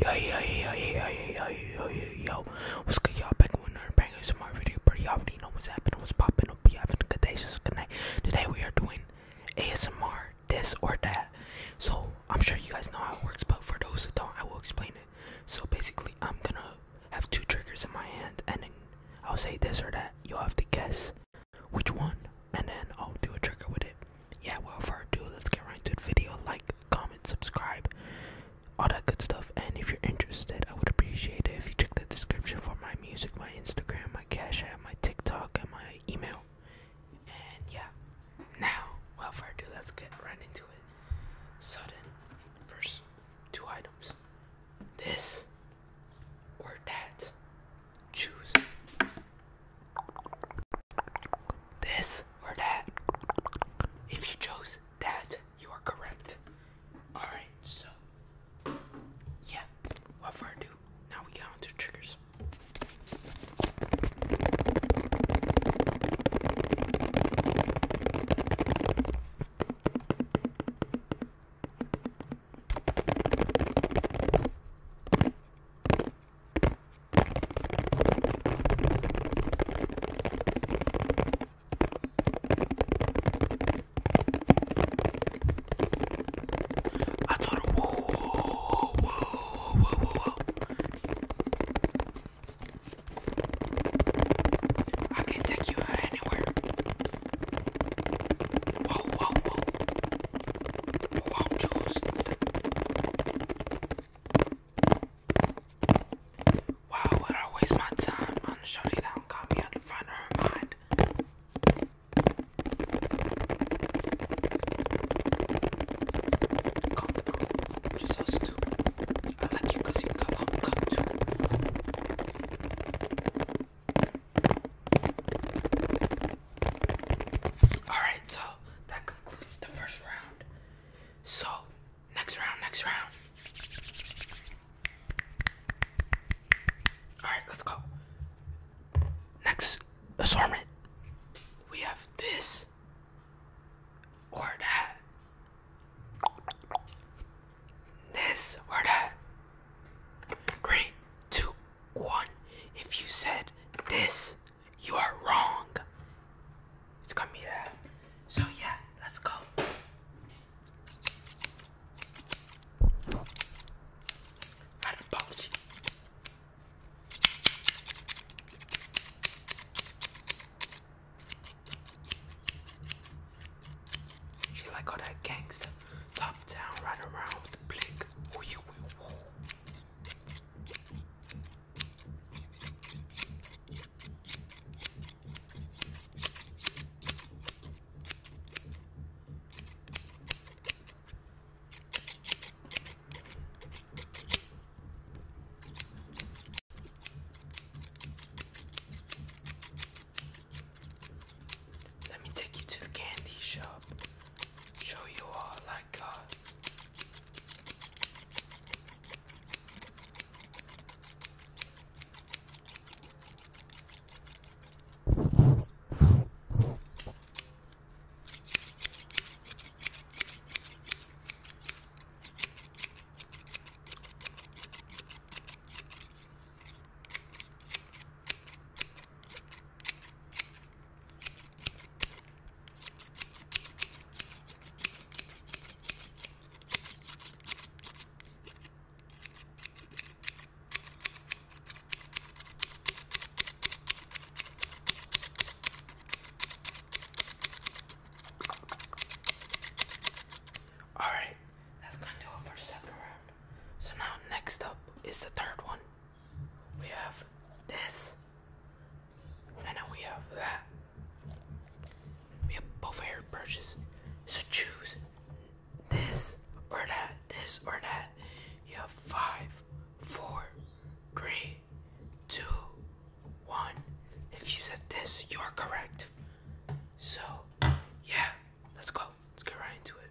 Yo, yo, yo, yo, yo, yo, yo, yo, what's good, y'all? Back with another bangers in my video, but y'all already know what's happening, what's popping up, you having a good day, just good night. Today we are doing ASMR, this or that. So, I'm sure you guys know how it works, but for those that don't, I will explain it. So, basically, I'm gonna have two triggers in my hand, and then I'll say this or that. You'll have to guess which one, and then I'll do a trigger with it yeah, without further ado, let's get right into the video. Like, comment, subscribe, all that good stuff. And if you're interested, I would appreciate it if you check the description for my music, my Instagram, my Cash App, my TikTok, and my email. And yeah, now, without further ado, let's get right into it. Sudden, first two items this or that. Choose. This or that? If you chose that, you are correct. Alright, so. Yeah, what for do? Now we get on triggers. I told him, whoa, whoa, whoa, whoa, whoa, whoa, whoa. I can take you anywhere. Whoa, whoa, whoa. Wow, Wow, would I waste my time on a shorty that me on the front of her Come, just so stupid. I like you cause you come, I'm coming too. Alright, so that concludes the first round. So, next round, next round. Alright, let's go. Next assortment. We have this or that. This or that. Three, two, one. If you said this you are wrong. It's gonna be that. So yeah, let's go. Right apology. She like all that gangster, top down, right around with the blink. Ooh, you, ooh, let me take you to the candy shop. Show you all my god. Alright, that's gonna it for second round. So now next up is the third one we have this, and then we have that. We have buffet your purchase. So choose this or that, this or that. You have five, four, three, two, one. If you said this, you're correct. So, yeah, let's go. Let's get right into it.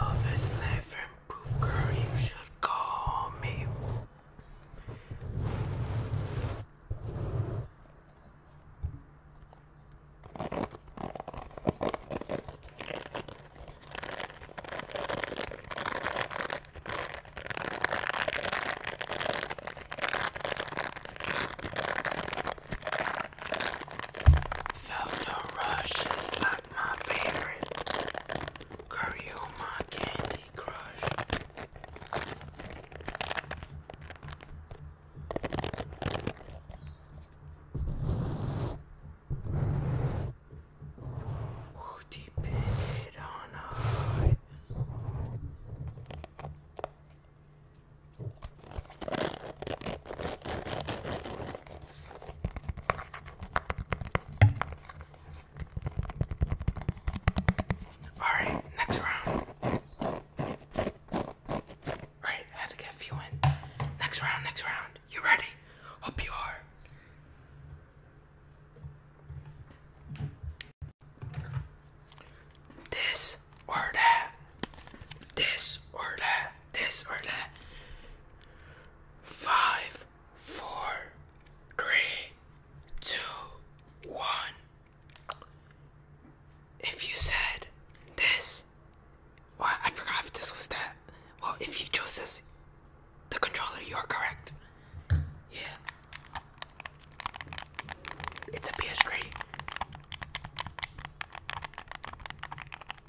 Love is life and proof, girl, you should call me. Velda Rush is like my favorite. Girl, my Candy Crush. Ooh, deep on high. All right, next round. Right, had to get a few in. Next round, next round. You ready? Hope you are. This or that. This or that. This or that. Five, four, three, two, one. If you said this, well, I forgot if this was that. Well, if you chose this, the controller, you are correct. Yeah. It's a PS3.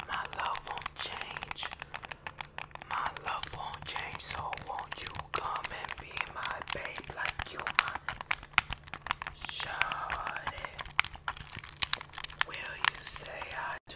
My love won't change. My love won't change. So won't you come and be my babe like you are? Shawty, will you say I do?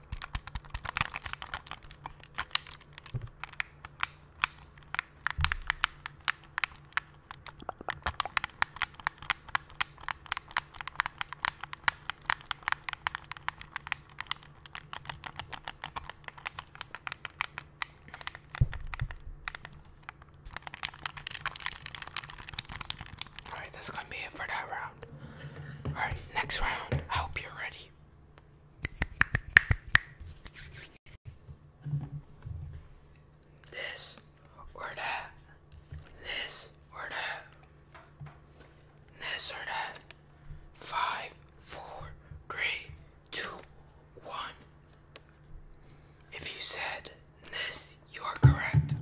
Alright, that's gonna be it for that round. Alright, next round. I hope you're ready. This or that. This or that. This or that. Five, four, three, two, one. If you said this, you are correct.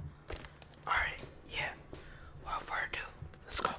Alright, yeah. Without further let's go.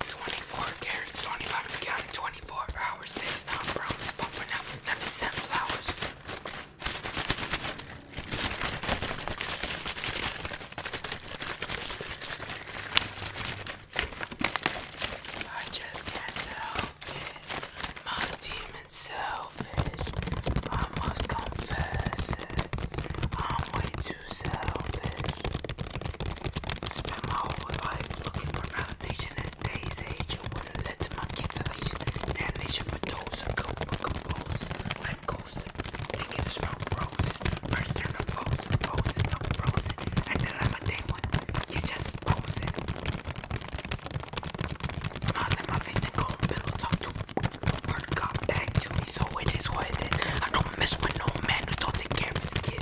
24 carrots, 25 again, 24 hours. This now brown is pumping up. Let me send flowers. I just can't help it. My demon's selfish. I must confess it. I'm way too selfish. Spent my whole life looking for validation in today's age. It wouldn't lead to my cancellation. Damnation for those who cope with compose. Life goes thinking it's about roses. First turn of pose, proposing, I'm frozen. And then I'm a day when you're just posing. Not in my face, they go and pillow talk to Word got back to me, so it is what it is. I don't mess with no man who don't take care of his kid.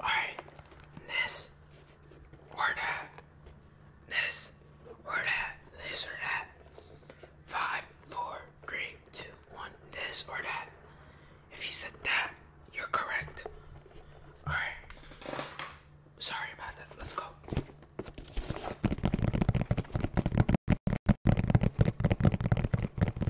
Alright, this or that, this or that, this or that. Five, four, three, two, one, this or that. If you said that, you're correct. Alright. Sorry about that. Let's go.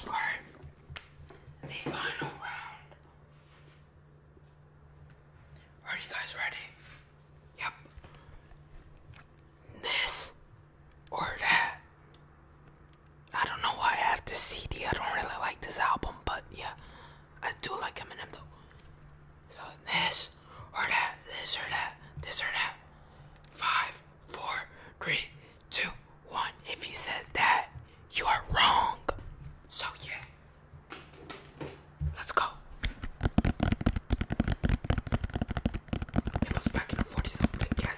For the final round. Are you guys ready? Yep. This or that. I don't know why I have this CD. I don't really like this album, but yeah, I do like Eminem though. So this or that, this or that, this or that. Five, four, three, two, one. If you said that, you are wrong. So yeah. Let's go. It was back in the 40s of big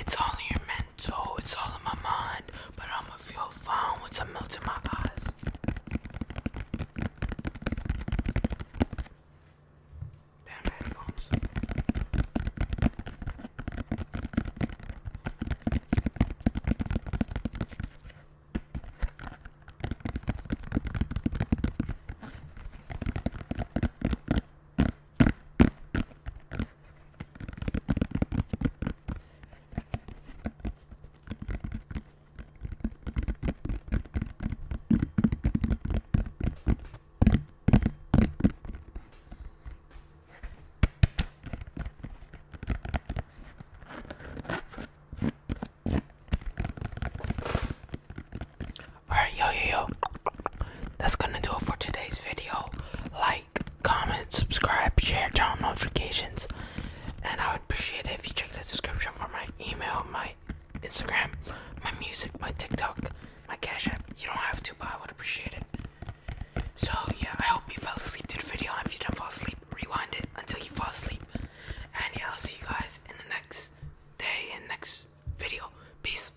It's only your men mental, it's all in my mind, but I'ma feel fine once I melt in my eyes. Damn headphones. Alright, yo, that's gonna do it for today's video. Like, comment, subscribe, share, turn on notifications, and I would appreciate it if you check the description for my email, my Instagram, my music, my TikTok, my Cash App. You don't have to, but I would appreciate it. So yeah, I hope you fell asleep to the video. if you didn't fall asleep, rewind it until you fall asleep. And yeah, I'll see you guys in the next day and next video. Peace.